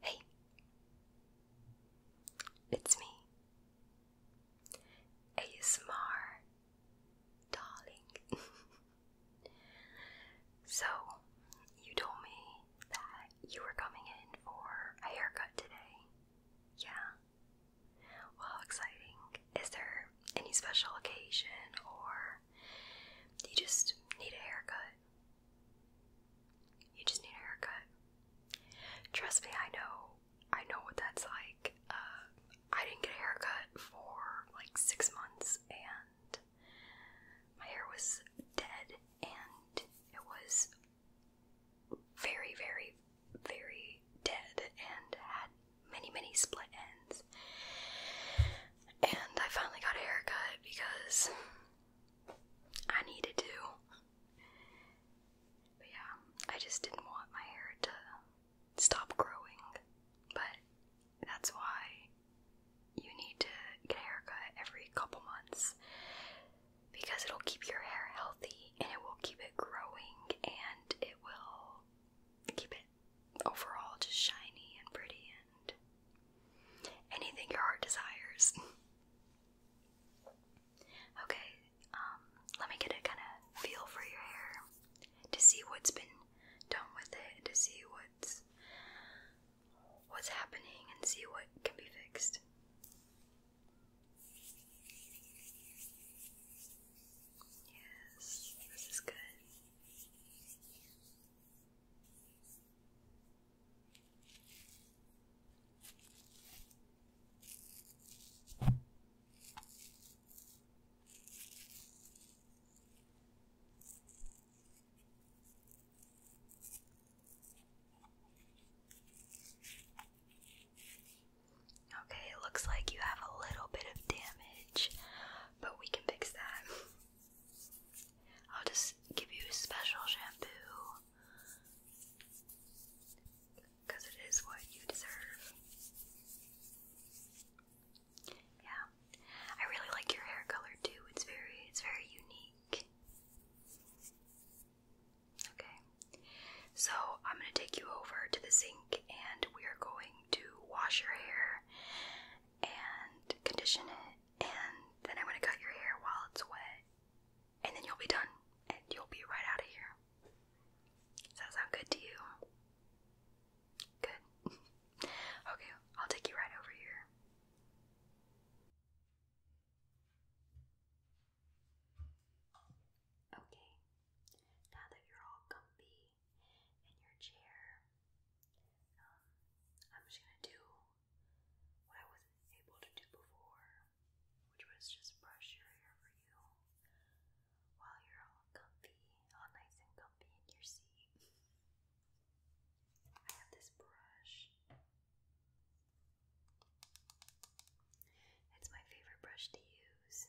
Hey, it's me, ASMR darling. so, you told me that you were coming in for a haircut today. Yeah. Well, exciting. Is there any special occasion or you just need a haircut. You just need a haircut. Trust me, I know. I know what that's like. Uh, I didn't get a haircut for like six months, and my hair was dead, and it was very, very, very dead, and had many, many split ends. And I finally got a haircut because I needed to. But yeah, I just didn't want my hair to stop growing. But that's why you need to get a haircut every couple months because it'll keep your hair healthy and it will keep it growing and it will keep it overall just shiny and pretty and anything your heart desires. okay, um, let me get a kind of feel for your hair to see what's been done with it, to see what's what's happening, and see what can be fixed. Yes, this is good. Okay, it looks like you have a little bit of damage but we can fix that. I'll just give you special shampoo because it is what you deserve. Yeah, I really like your hair color too. It's very, it's very unique. Okay, so I'm gonna take you over to the sink, and we are going to wash your hair and condition it, and then I'm gonna cut your hair while it's wet, and then you'll be done, and you'll be right out of here. Does that sound good to you? Good. okay, I'll take you right over here. Okay, now that you're all comfy in your chair. Um, I'm just gonna do what I wasn't able to do before, which was just brush your hair for you while you're all comfy, all nice and comfy in your seat. I have this brush. It's my favorite brush to use.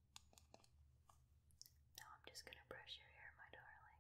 Now I'm just going to brush your hair, my darling.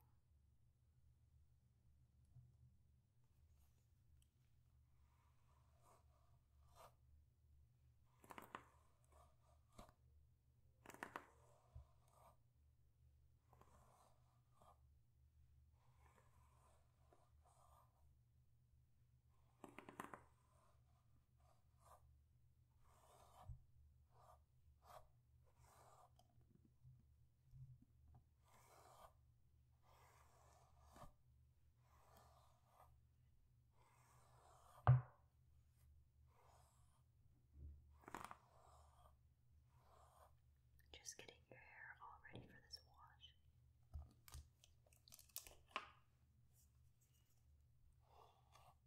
Just getting your hair all ready for this wash.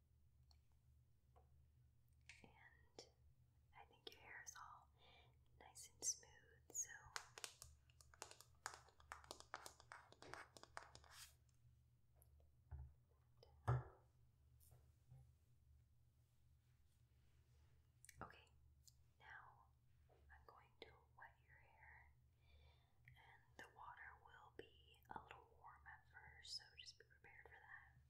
And I think your hair is all nice and smooth, so Okay, now I'm going to wet your hair the water will be a little warm at first, so just be prepared for that. Okay,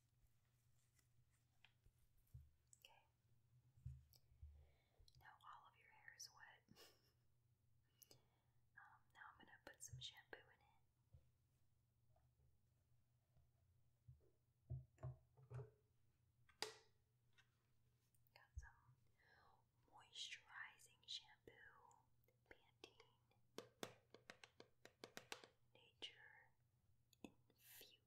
Okay. Now all of your hair is wet. Um, now I'm gonna put some shampoo in it. Got some moisturizing shampoo, Pantene Nature Infused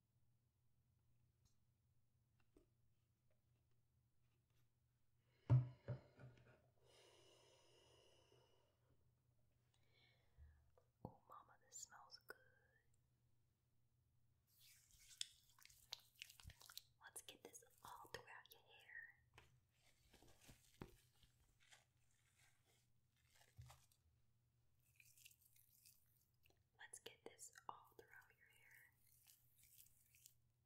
Oh, Mama, this smells good. Let's get this all throughout your hair. Let's get this all throughout your hair.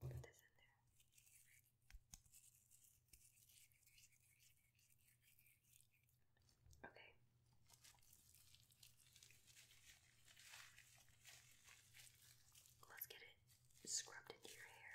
Put this in there. Okay. Let's get it scrubbed into your hair.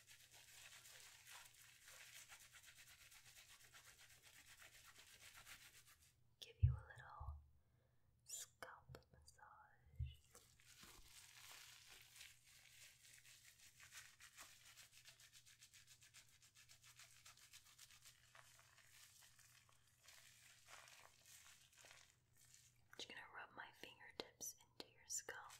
Give you a little scalp massage. just going to rub my fingertips into your scalp.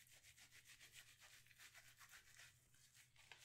back of you. Sorry. Okay, I think that you're all shampooed up and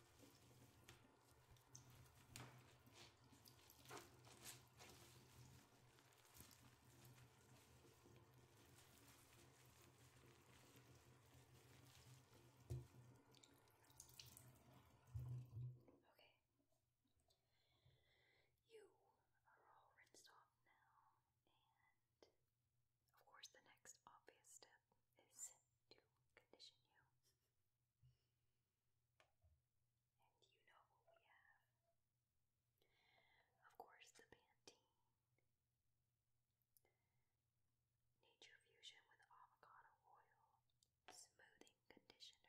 Okay. You are all rinsed off now, and of course, the next obvious step is to condition you. And you know we have. Of course, the Pantene. Nature Fusion with Avocado Oil Smoothing Conditioner.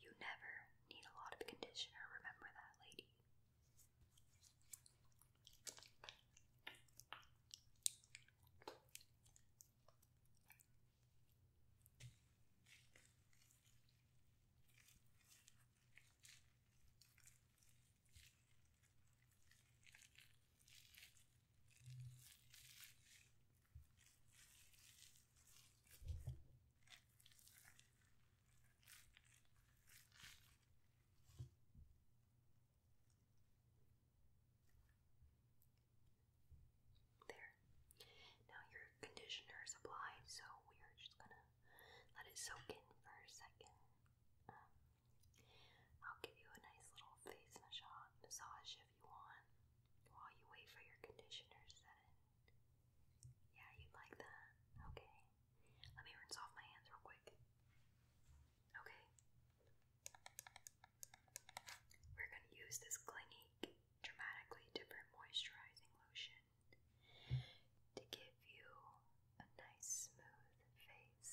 You never need a lot of conditioner, remember that, lady. There. Now your conditioner is applied, so we are just gonna let it soak in for a second. Um, I'll give you a nice little face massage if you want while you wait for your conditioner to set in. Yeah, you'd like that? Okay. Let me rinse off my hands real quick. Okay. We're going to use this Clinique Dramatically Different Moisturizing Lotion to give you a nice smooth face.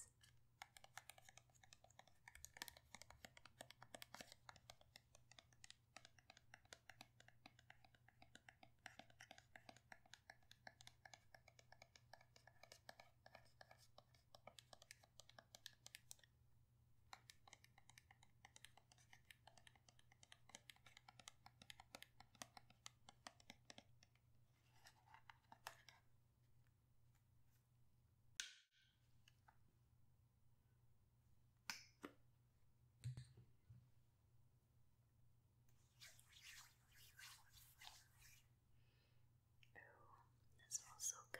Oh, that smells so good.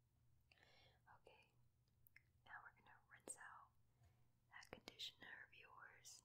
Okay, now we're going to rinse out that conditioner of yours.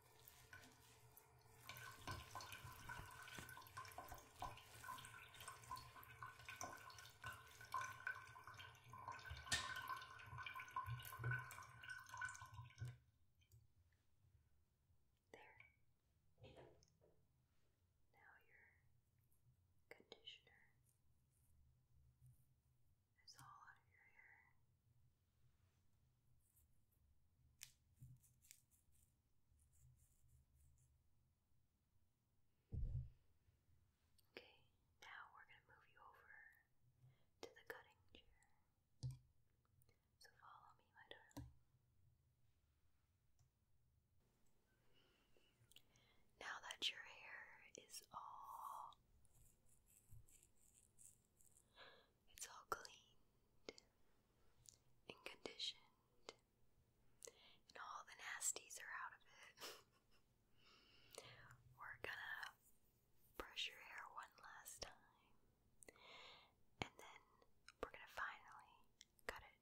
There. Now your conditioner Okay, now we're going to move you over to the cutting chair. So follow me, my darling. Now that your hair is all it's all cleaned and conditioned, and all the nasties are out of it. We're gonna brush your hair one last time, and then we're gonna finally cut it.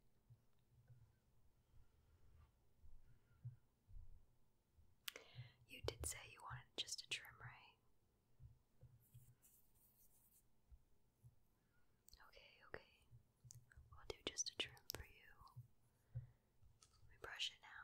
You did say you wanted just a trim, right? Okay, okay. We'll do just a trim for you. Let me brush it now.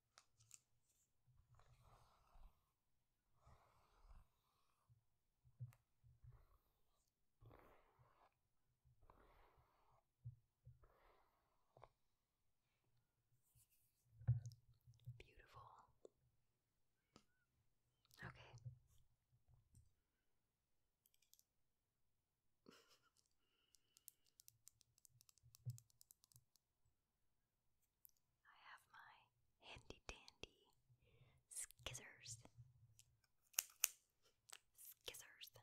Beautiful. Okay. I have my handy dandy skizzers. Skizzers.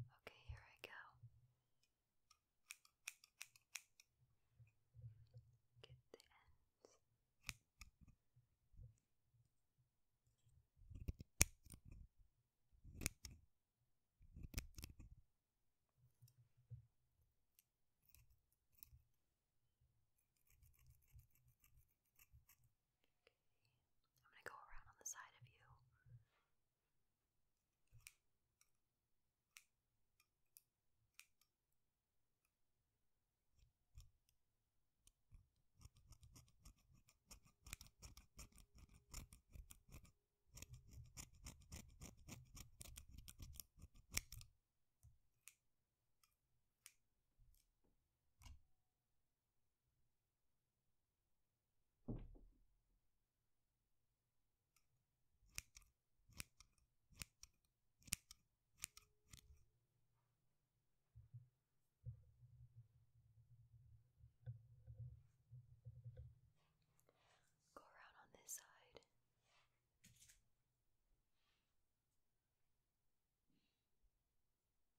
Okay, here I go. Get the ends. I'm going to go around on the side of you. Go around on this side.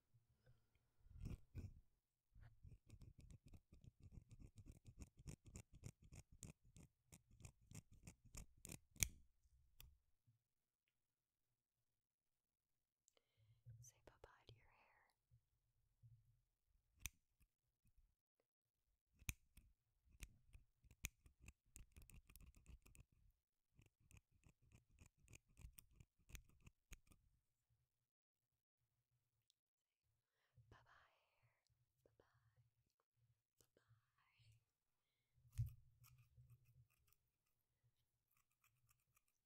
Say bye bye to your hair. Bye bye.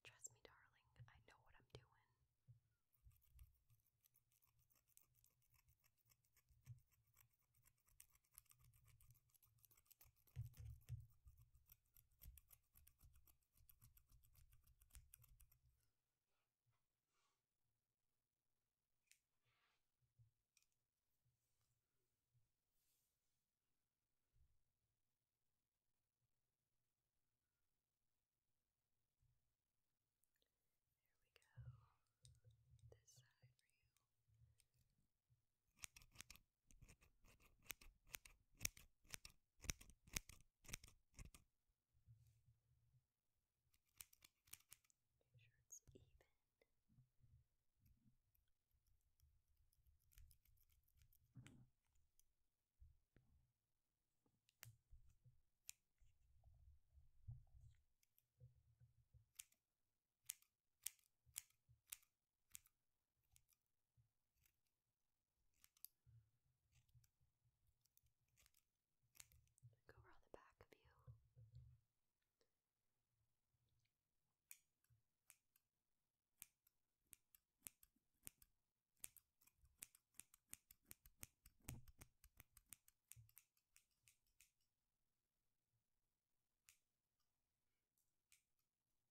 Trust me, darling, I know what I'm doing. There we go. This side for you. Make sure it's even. Go around the back of you.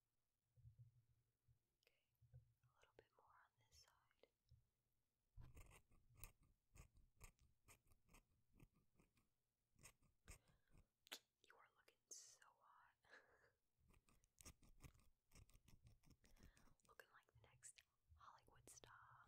Okay, a little bit more on this side. You are looking so hot. looking like the next Hollywood star.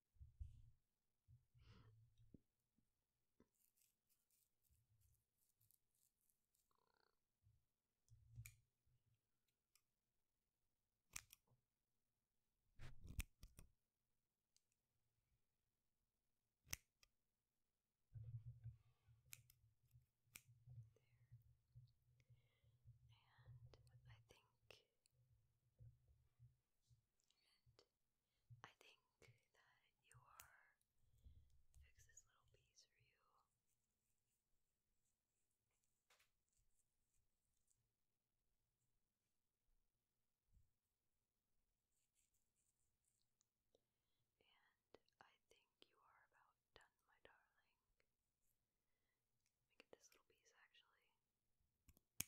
And I think and I think that your fix this little piece for you. And I think you are about done, my darling. Let get this little piece actually. Perfect.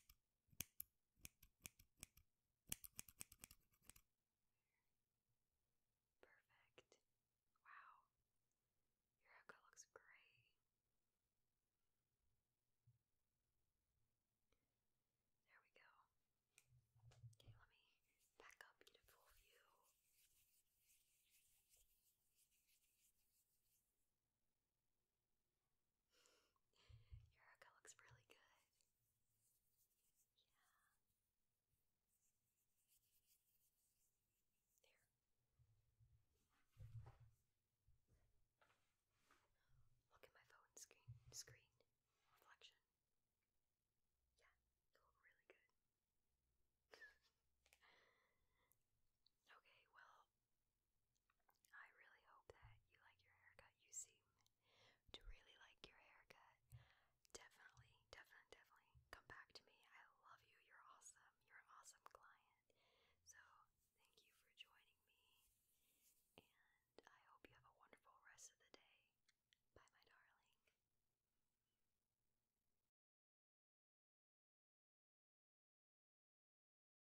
Wow. Your haircut looks great. There we go. Okay, let me back up, get view. Your haircut looks really good. Yeah. There. Look at my phone screen screen reflection. Yeah, you look really good. okay, well, I really hope that you like your haircut. You seem to really like your haircut. Definitely, definitely, definitely come back to me. I love you. You're awesome. You're an awesome client. So, thank you for joining me. And I hope you have a wonderful rest of the day. Bye, my darling.